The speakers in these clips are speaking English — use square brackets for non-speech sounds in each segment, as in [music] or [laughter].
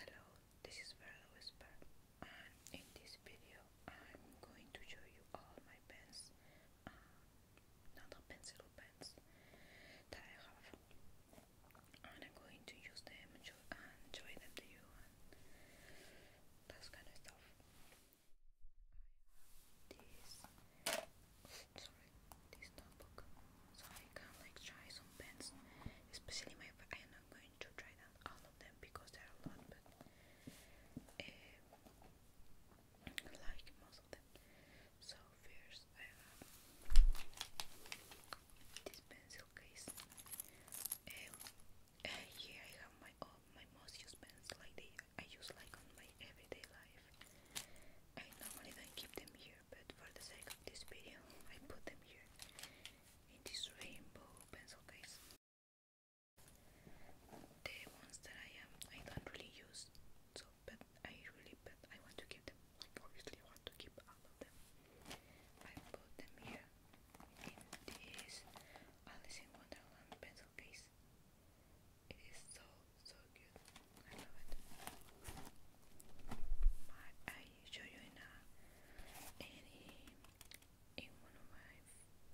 Hello, this is Verla Whisper and in this video I'm going to show you all my pens, uh, pencil pens that I have and I'm going to use them and show, them to you and that kind of stuff. I have this sorry, this notebook. So I can like try some pens, especially I am not going to try down all of them because there are a lot, but uh, like most of them. So first I have this pencil case. Um, I have my my most used pens, like I use like on my everyday life. I normally don't keep them here but for the sake of this video, I put them here in this rainbow pencil case. The ones that I am, I don't really use, so but I really, but I want to keep them. Like obviously, want to keep all of them. I put them here in this Alice in Wonderland pencil case. It is so so good. I show you in any, of my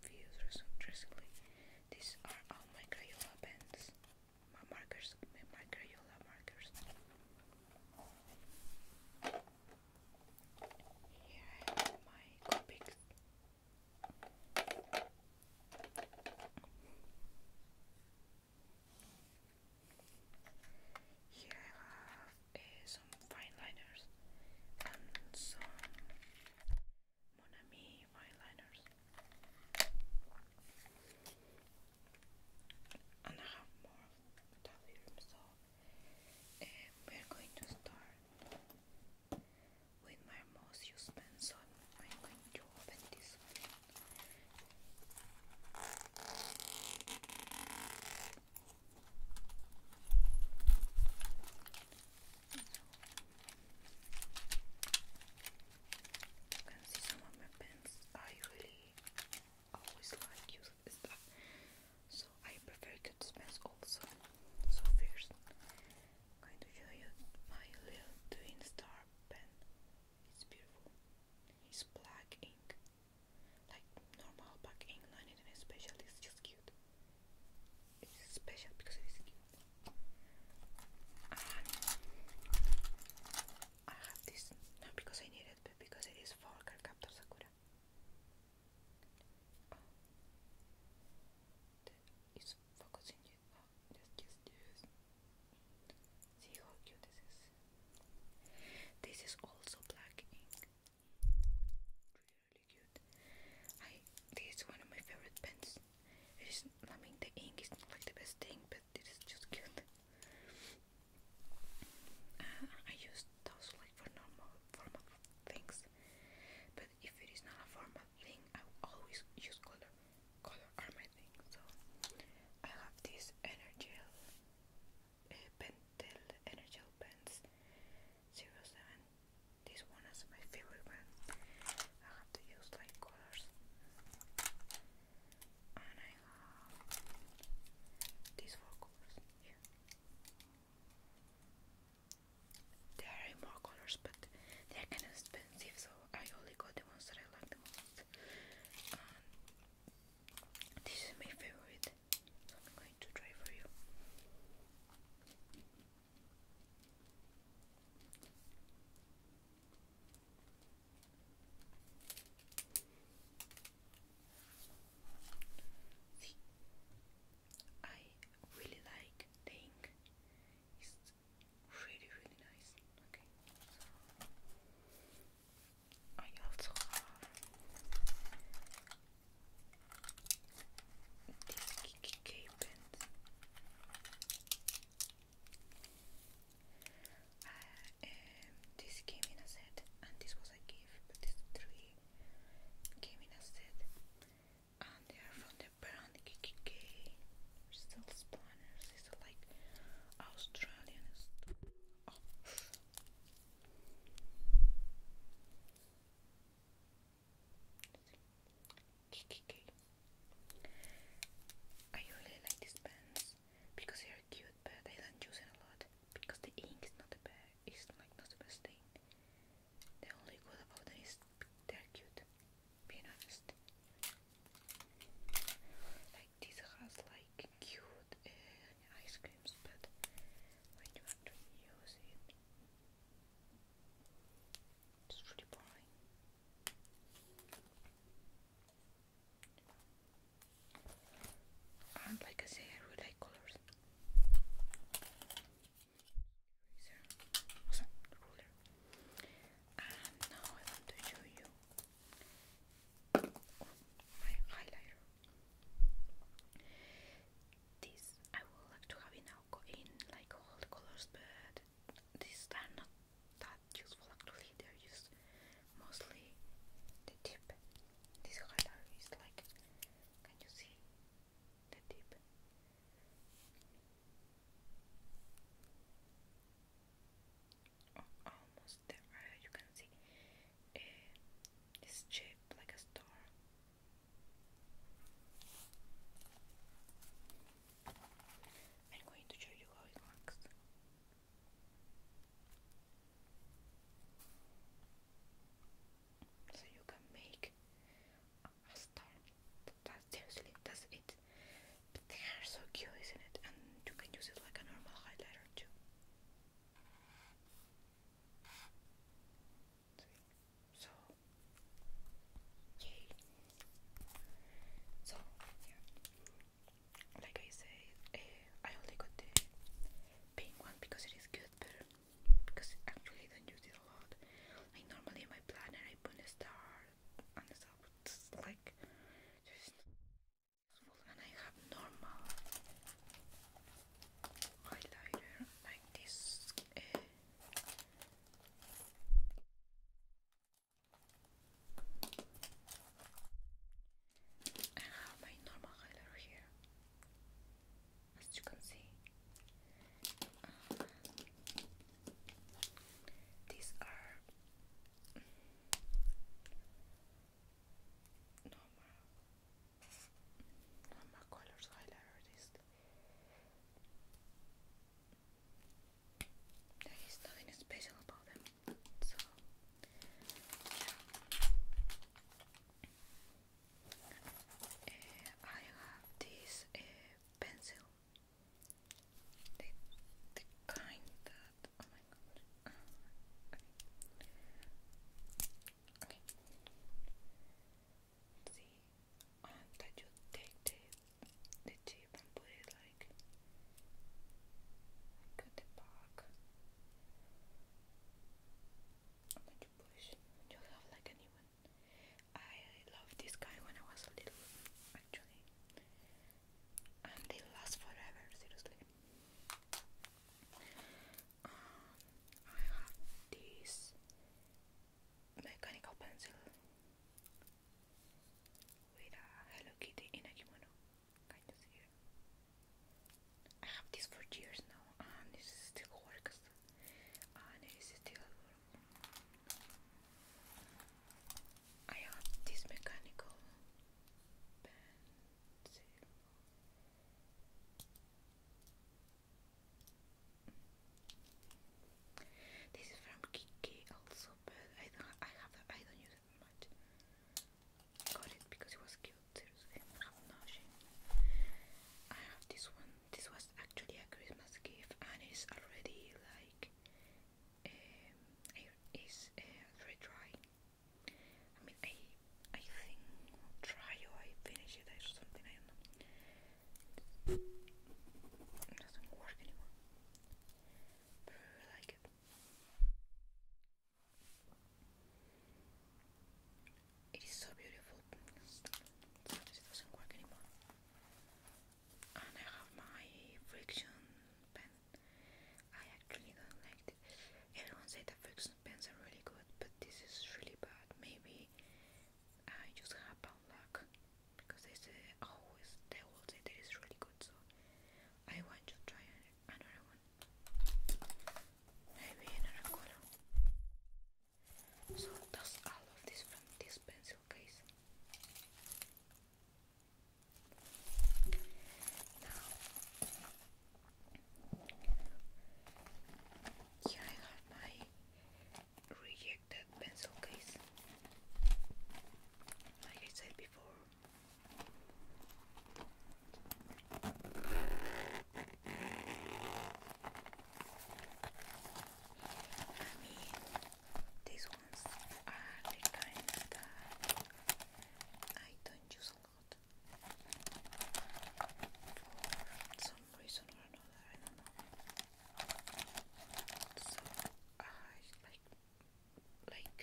views recently. These are all my Crayola pens, my markers, my Crayola markers. Here I my Copics. Here I have eh, some fine liners and some Monami fine liners. And I have more of that film, so eh, we're going to start with my most used pencil. I'm going to open this one. You can see some of my pens. I really always like using so I prefer to dispense also. So first, I'm you my little twin star pen. It's beautiful. It's black ink like normal back England and especially it's just cute. It's special because it is cute. I have this not because I need it but because it is for Cardcaptor Sakura. Oh. It's focusing you. Oh, yes, See how cute this is. This is also black ink. Really cute. this is one of my favorite pens. I mean the ink is not like the best thing, but it is just cute. Uh, I use those like for normal formal things, but if it is not a formal thing, I always use color. Color are my thing. So I have this energy uh, eh, Pentel Energel Pens This one is my favorite one. I have to use light colors. And I have these four colors There are more colors, but they're kind of expensive, so I only got the ones that I like the most this is my favorite, I'm going to try for you. See, I really like the ink. really, really nice. Okay, I also have these KKK pins. this came set, and this was a gift. But three came set, and they are from the brand KKK. Still, spanners. These like Australian oh. Kikiki. I really like these pens because they are cute, but I don't use it a lot because the ink is not the best. It's like not the best thing. The only good about them is they're cute. Being honest, this has like cute uh, ice creams, but when you actually use it, it's really boring. And like I say, I really like colors. Eraser, ruler. And now I want to show you my highlighter. This I would like to have it now in like all the colors, but these are not that useful actually. They're used mostly the tip. This highlighter is like, can you see the tip? almost the you can see uh, eh, shaped like a star. I'm going to show you how it works. So you can make a star. That, seriously, that's it. they are so cute, isn't it? And you can use it like a normal highlighter too. So, yay. yeah. Like I said, eh, I only got the pink one because it is good, but because actually I don't use it a lot. Like normally my planner I put a star and stuff. like, when I have normal highlighter like this uh, I have my normal highlighter here as you can see uh, these are normal normal colors highlighter is there is nothing special about them so uh, I have this uh, pencil the, the kind that. you take the the chip and put it like at the back. And you push. You have like a I love this guy when I was little, actually. And they last forever, seriously. Um, I have this mechanical pencil with a Hello Kitty in a kind of here. I have this for years now, and this still works, and it is still I have this mechanical pencil. This is from Kiki also, but I don't I have I don't use it much. Got it because it was cute, seriously. I have this one. This was actually a Christmas gift and it's already like um, it's uh, dry I mean, I I think try or I finish it or something. I don't It doesn't work anymore. I really like it. It is so beautiful. It doesn't work anymore. And I have my friction pen I actually don't like it. Everyone said the Ferguson pens are really good, but this is really bad. Maybe I just have bad luck because they say always oh, they will say that it's really good. So I want to try another one. Maybe another color. So that's all of this from this pencil case. Now here I have my rejected pencil case. Like I said before. I mean, these ones are the kind that I don't use a lot for some reason or another, I don't know. So like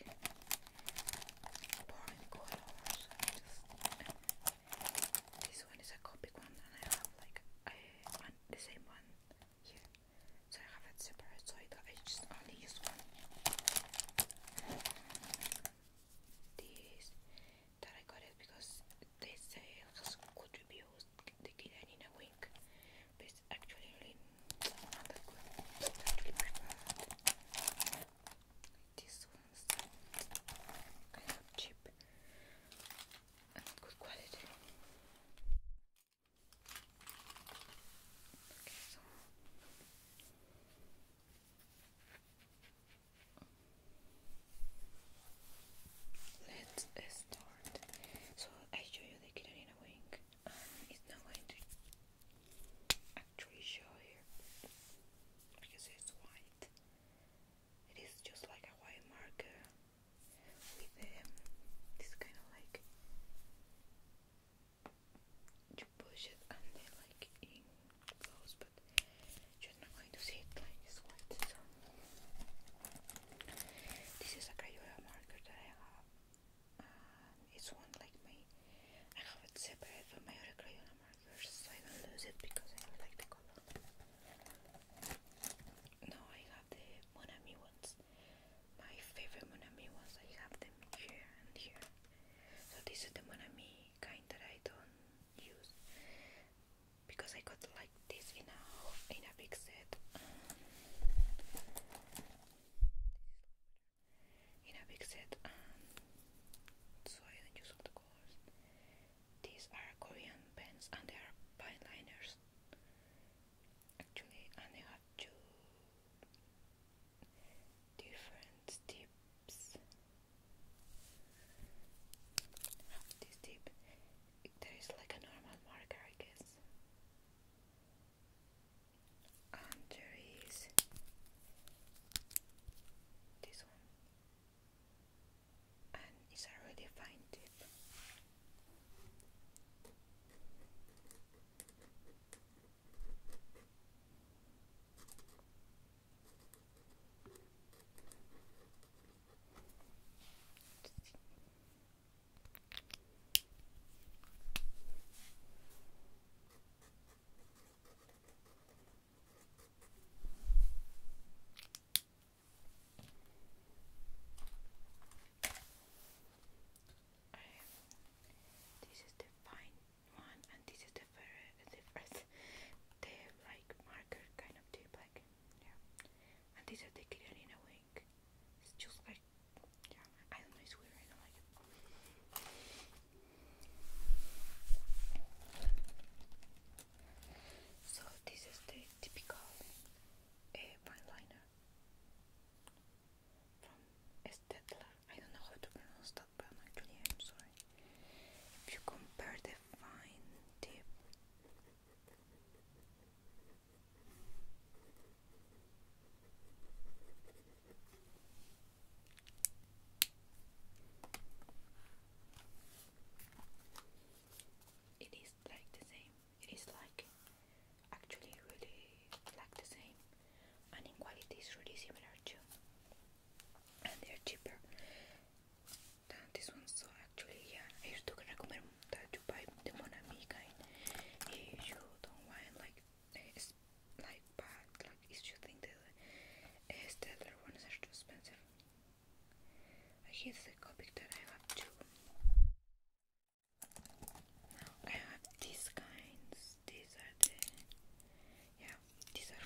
like pouring colors. this one is a copic one, and I have like a, the same one here. So I have it separate, so I just only use one these that I got it because they say it's good reviews. They get it in a week, but actually really good. I ones cheap and good quality. Let's start. So I show you the Kiranina wing, and it's not going to actually show here because it's white. It is just like a white marker with um, this kind of like you push it and then like in goes, but you're not going to see it like this one. So this is a Crayola marker that I have. it's one like me. I have it separate from my other Crayola markers, so I don't lose it because I really like the color. Now I have the Monami ones. My favorite Monami ones. I have them here and here. So this is the Monami kind that I don't use because I got like this in a in a big set in a big set um, so I don't use all the colors. These are Korean pens and they are pen liners actually and they have two different tips. this tip, there is like a normal marker, I guess. And there is this one, and it's a really fine tip. This is the fine one and this is the the first the like marker kind of tip like yeah and these are the Kirillina wing it's just like yeah I don't know it's weird I don't like it so this is the typical uh, fine liner from Estetla I don't know how to pronounce that, but actually I'm sorry. If you compare the fine tip it is like the same. It is like actually really like the same, and in quality is really similar too and they're cheaper this one. So actually, yeah, I used to recommend that you buy the Monamiga if you don't want like like bad, like if you think that uh, the ones are too expensive. Here's the copy that I have too. I have these kinds. These are the yeah. These are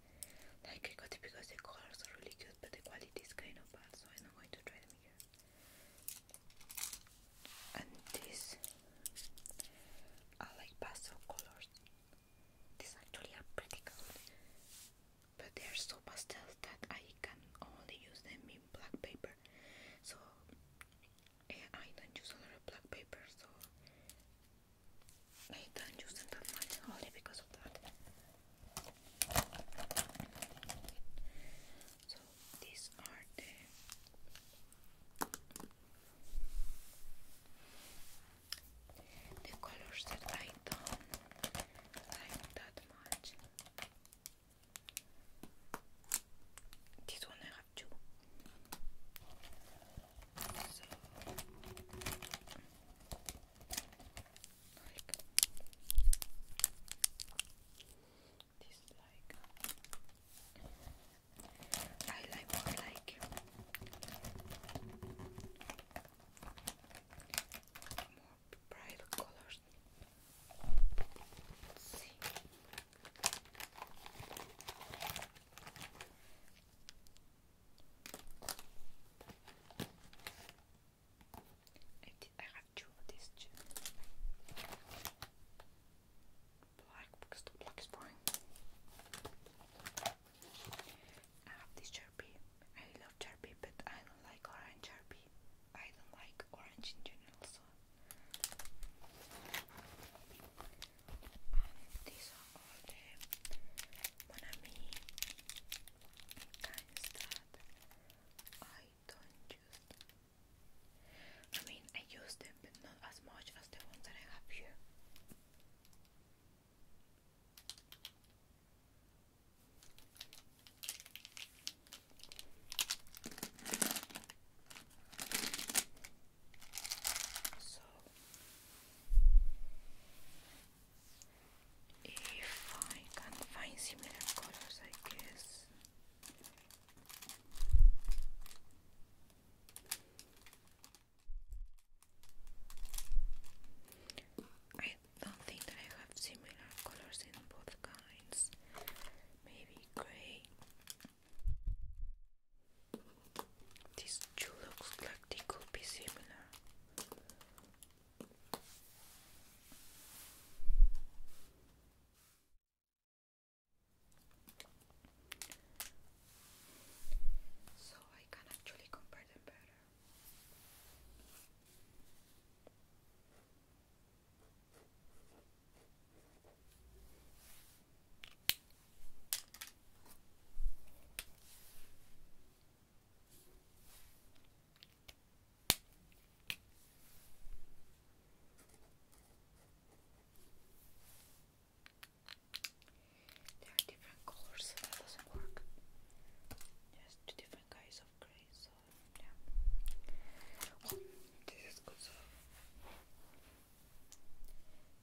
I got it because the colors are really good, but the quality is kind of bad, so I'm not going to try them here. And these are like pastel colors. These actually are pretty good, but they are so pastel that I can only use them in black paper. So eh, I don't use a lot of black paper, so I can't use them for mine only because of that. So these are the the colors that I don't like that much. This one I have two like this I like more like more bright colors. I, did, have two Black because the black is boring. I have this Sharpie. I love Sharpie, but I don't like orange Sharpie. I don't like orange in general, so. these are all the Monami kinds that I don't use. I mean, I use them, but not as much as the ones that I have here. So if I can find similar colors, I guess. I don't think that I have similar colors in both kinds. Maybe gray. These two looks like they could be similar. So I can actually compare them better. There are different colors, that doesn't work. There's two different kinds of gray, so yeah. Oh, this is good. So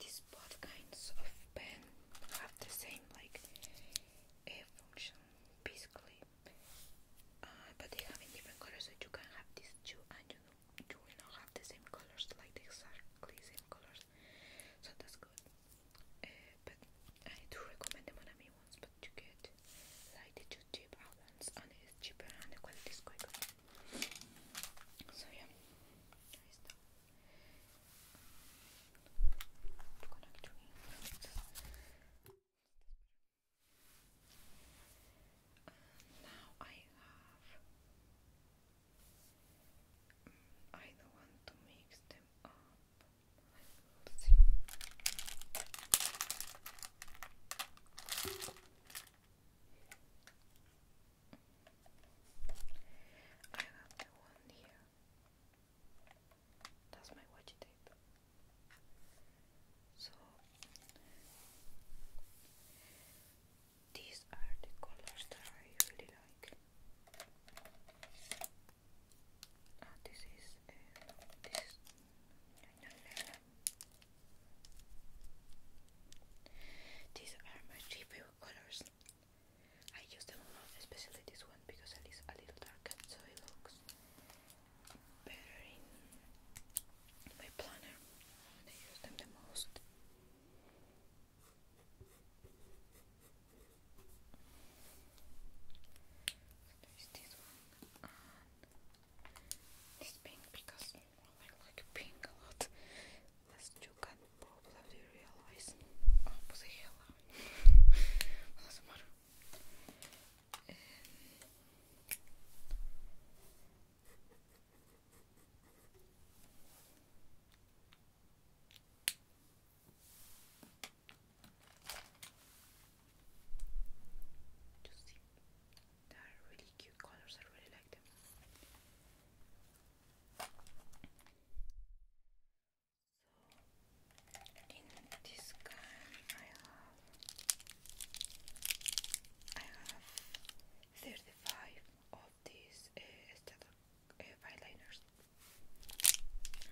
these both kinds of pen have the same like a function basically. Uh, but they have different colors, so you can have these two, and you will not have the same colors, like exactly same colors. So that's good. Uh, but I do recommend the Monami ones, but you get like the two cheap ones, and it's cheaper and the quality is quicker. So yeah, connect to now I have. I don't want to mix them up. Let's see. I have the one here. That's my washi tape. So these are the colors that I really like. Ah, this is uh, this no, no, no, These are my favorite colors. I use them a lot, especially this one because it is a little darker, so it looks better in my planner. I use them the most. There is this one this pink because I like pink a lot, as you can probably realize. Oh, what the hell? Doesn't matter. Um, just are really cute colors. I really like them in this gun I have I have 35 of these uh, static uh,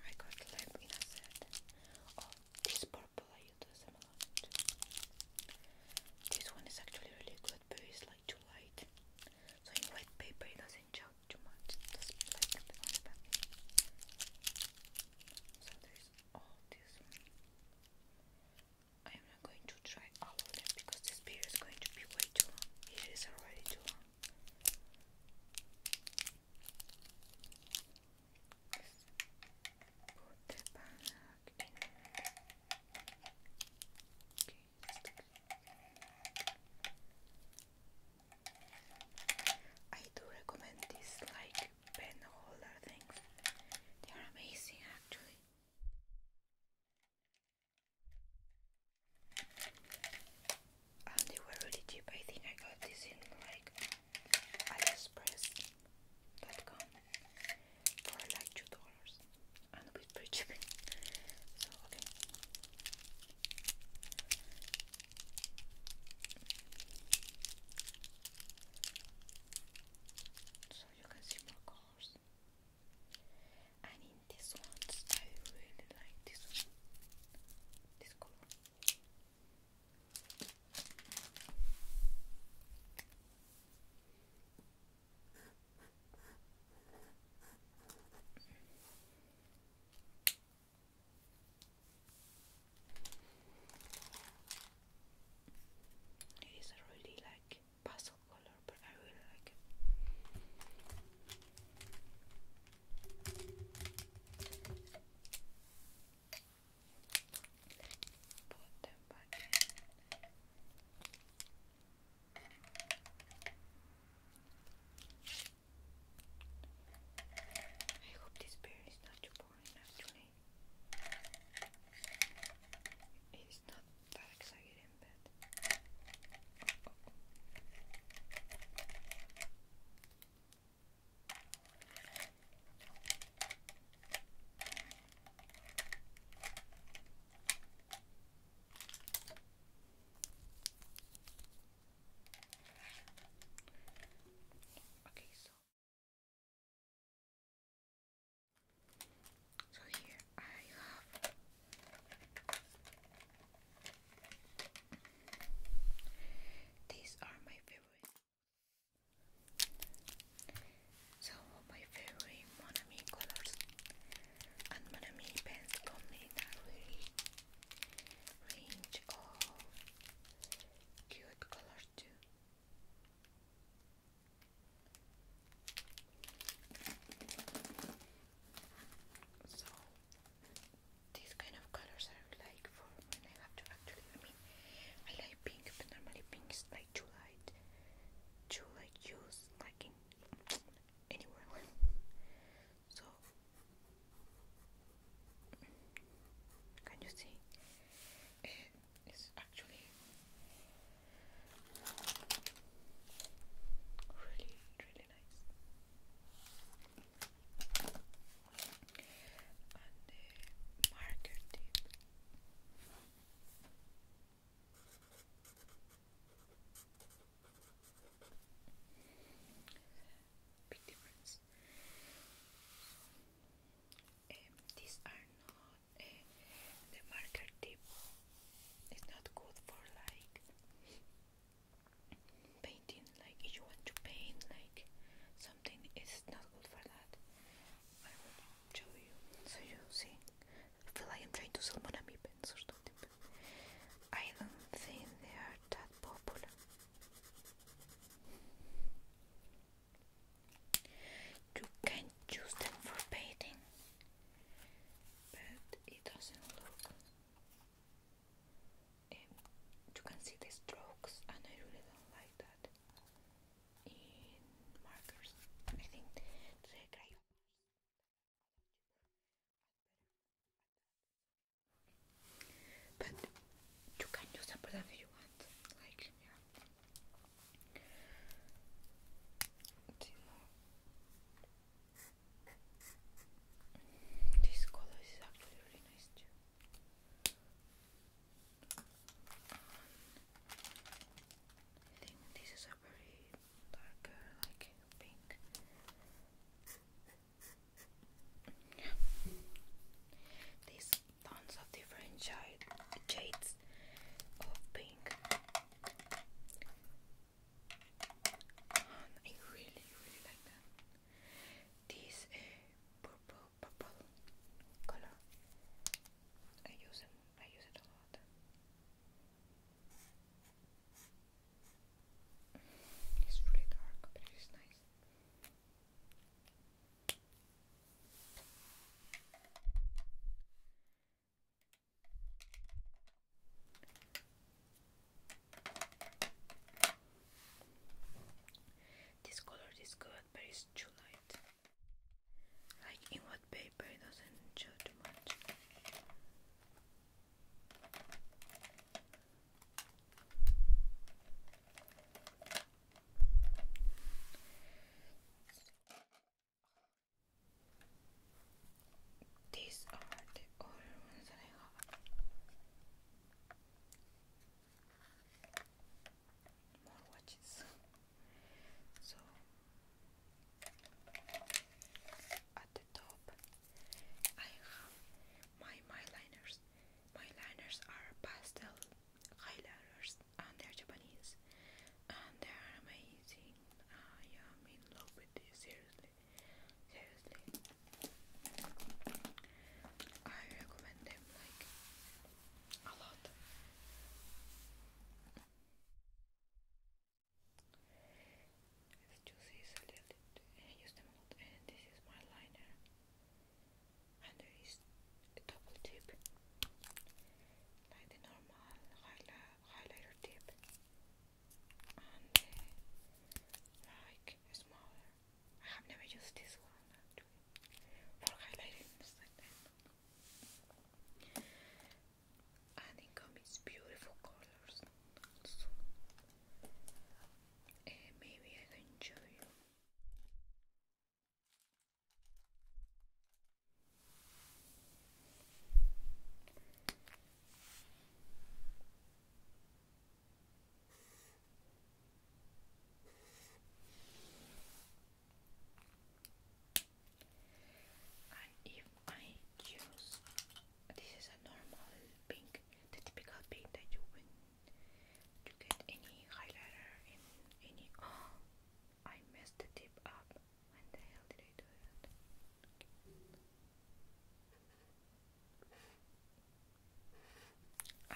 I got left in a set oh this purple I use them a lot this one is actually really good but it's like too light so in white paper it doesn't show talk too much. Just So there's all this I am not going to try all of them because this video is going to be way too It is already too long. I do recommend this like pen holder things. They are amazing actually. And they were really cheap. I think I got this in like aliexpress.com for like two dollars. And a bit [laughs] So okay so you can see more colors. And in these ones, I really like this one, this color. It is a really like pastel color, but I really like it. I hope this bear is not too boring actually. It's not that exciting but Okay, so so here I have these are my favorite. So my favorite Monami colors and Monami pens come in a bunch of cute colors too. So these kind of colors are like for when I have to actually I like pink but normally pink is like too light to like use like in anywhere so, can you see? Eh, it is actually really, really nice. And the marker tip big difference. Um, these are not uh, the marker tip. It's not good for like painting. Like if you want to paint like something, it's not good for that. I will show you so you see. I feel like I'm trying to sell Monami pens or something. I don't think they are that popular. You can use them for painting, but it doesn't look. Um, you can see the strokes, and I really don't like that in markers. I think the crayon. But you can use them whatever you want. This color is actually really nice too. I think this is a very darker, like pink. These tons of different shades of pink. I really, really like them. This uh, purple, purple color. I use them. I use it a lot. It's really dark, but it is nice. This color is good, but it's too light. Like in what paper it doesn't show too much. These are the other I have. More watches. So at the top I have my my my liners are pastel highlighters and they're Japanese and they are amazing. I am in love with this, seriously. Seriously. I recommend them like a lot. The juice is a use them a lot and this is my liner under his double tip like the normal highlighter tip and uh, like smaller I have never used this one for highlighting and it comes beautiful colors uh, maybe I can show you and if I choose, this is a normal pink, the typical pink that you win to get any highlighter in any oh [gasps] I messed the tip up when the hell did I do that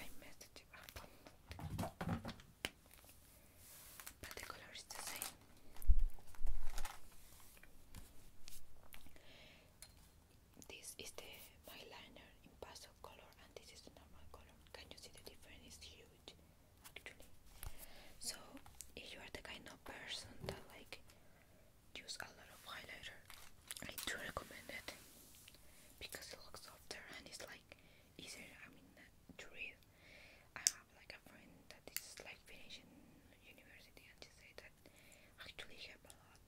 I messed the tip up but the color the same this is the my liner in pastel color and this is the normal color can you see the difference is huge actually so if you are the kind of person that like use a lot of highlighter I do recommend it because it looks softer and it's like easier I mean uh, to read I have like a friend that is like finishing university and she said that actually help a lot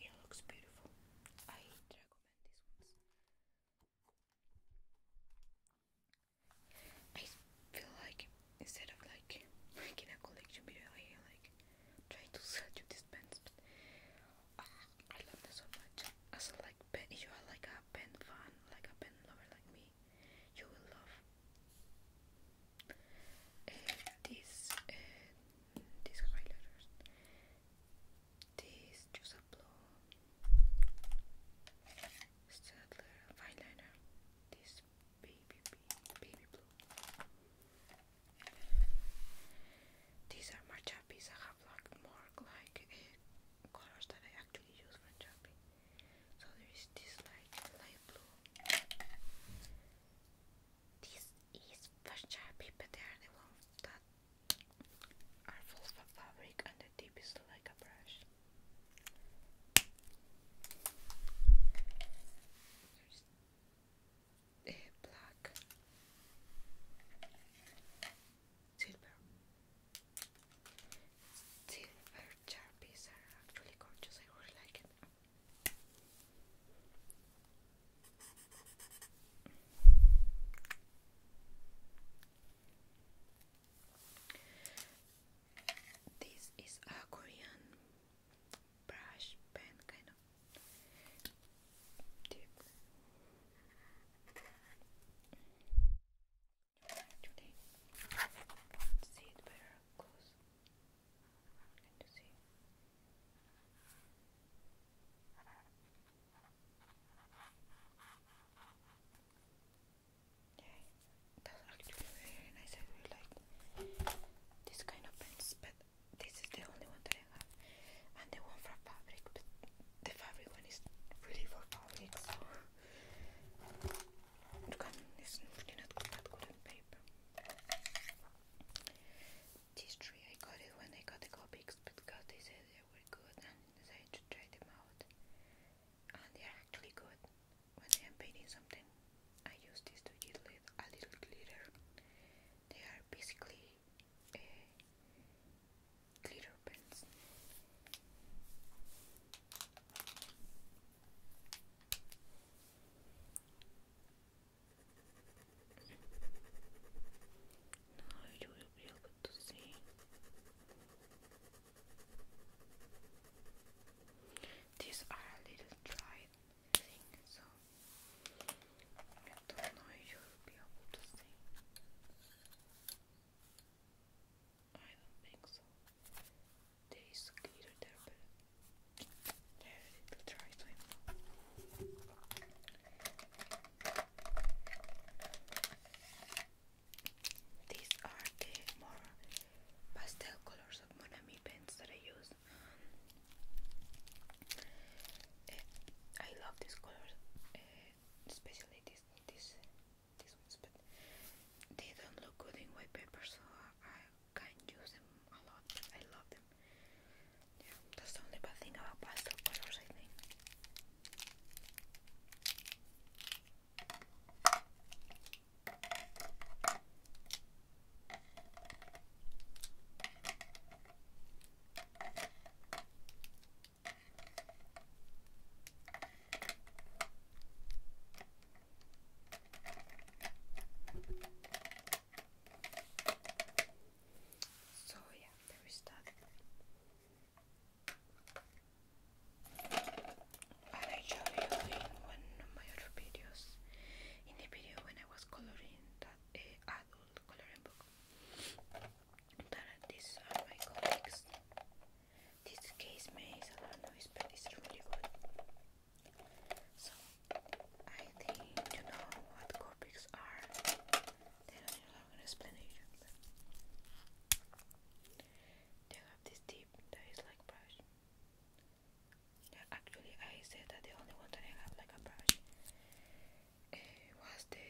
It looks beautiful. I recommend these ones. I feel like instead of like making a collection video, I like try to sell you these pens. Ah, I love them so much. As like pen, if you are like a pen fan, like a pen lover like me, movie you will love. Uh, this uh, this Joseph Blow Stadler eyeliner, this baby blue. These are my chappies. I have like more like eh, colors that I actually use for chappie. So there is this like light blue. This is for sharpie, but they are the ones that are full of fabric and the tip is like a brush. There's eh, black silver. Silver Sharpies are actually gorgeous, I really like it. This is a Korean brush pen kind of tip. Today, see it better close. Can you see? Yeah, that's actually very nice. I really like this kind of pens, but this is the only one that I have, and the one for fabric. But the fabric one is really for fabric, Look, i I got it when I got the copics because they said they were good and decided to try them out. And they are actually good. When I am painting something, I use this to give a little glitter. They are basically eh, glitter pens. Now you will be able to see these are a little dried thing, so I don't know if you will be able to see. I don't think so. There is a glitter there, but there try to These are the more pastel colors of Monami pens that I use. Eh, I love these colors, eh, especially this these ones, but they don't look good in white paper, so I can't use them a lot, I love them. Yeah, that's the only bad thing about pastel colors, I think. So, yeah, there is that. I showed you in one of my other videos, in the video when I was coloring that uh, adult coloring book, that these are my comics. This case makes a lot of noise, but it's really good. So, I think you know what Corpix are. They don't need a long explanation. They have this tip that is like brush. actually, I said that the only one that I have like a brush eh, was the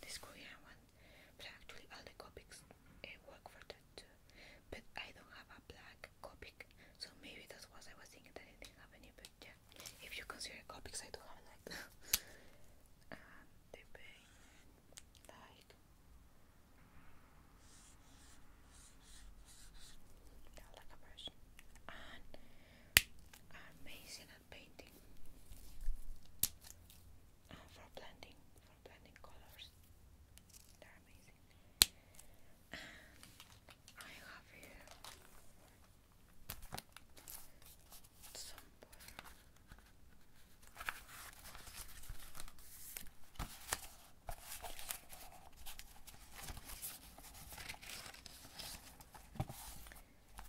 this Korean one but actually all the copics eh, work for that too. But I don't have a black copic, so maybe that's what I was thinking that I didn't have any. But if you consider copics, I don't have like that. they pay like yeah, like and amazing at painting for blending, for blending colors. They're amazing. I have here some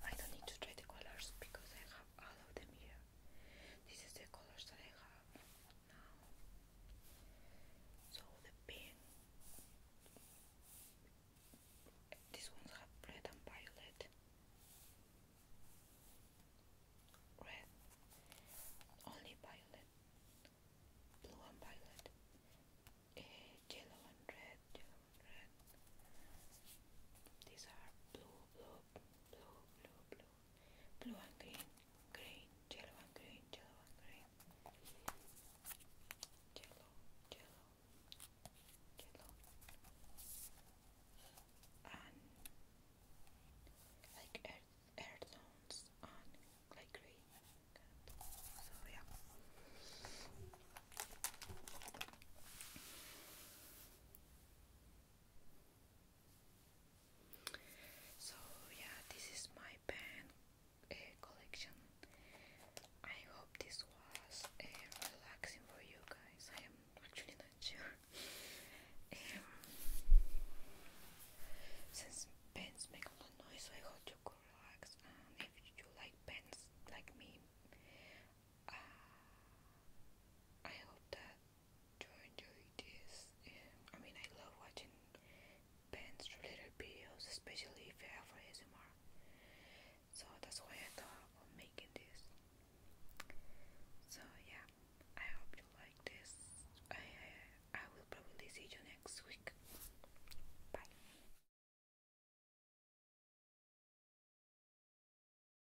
I don't need to try the colors because I have all of them here. This is the colors that I have now. So the pink. These ones have red and violet. Red, only violet. Blue and violet. Eh, yellow and red, yellow and red. These are blue, blue, blue, blue, blue, blue and green, green, yellow and green, yellow and green, yellow, yellow, yellow, and like earth, earth tones and like green. So yeah. So yeah, this is my pen uh, collection. I hope this was uh, relaxing for you guys. I am actually not sure. [laughs] Um, since pens make a lot of noise, I hope you could relax. And if you like pens like me, uh, I hope that to enjoy this. I mean, I love watching bands related videos, especially if they you have ASMR. So that's why I thought of making this. So yeah, I hope you like this. I I, I will probably see you next week. Bye.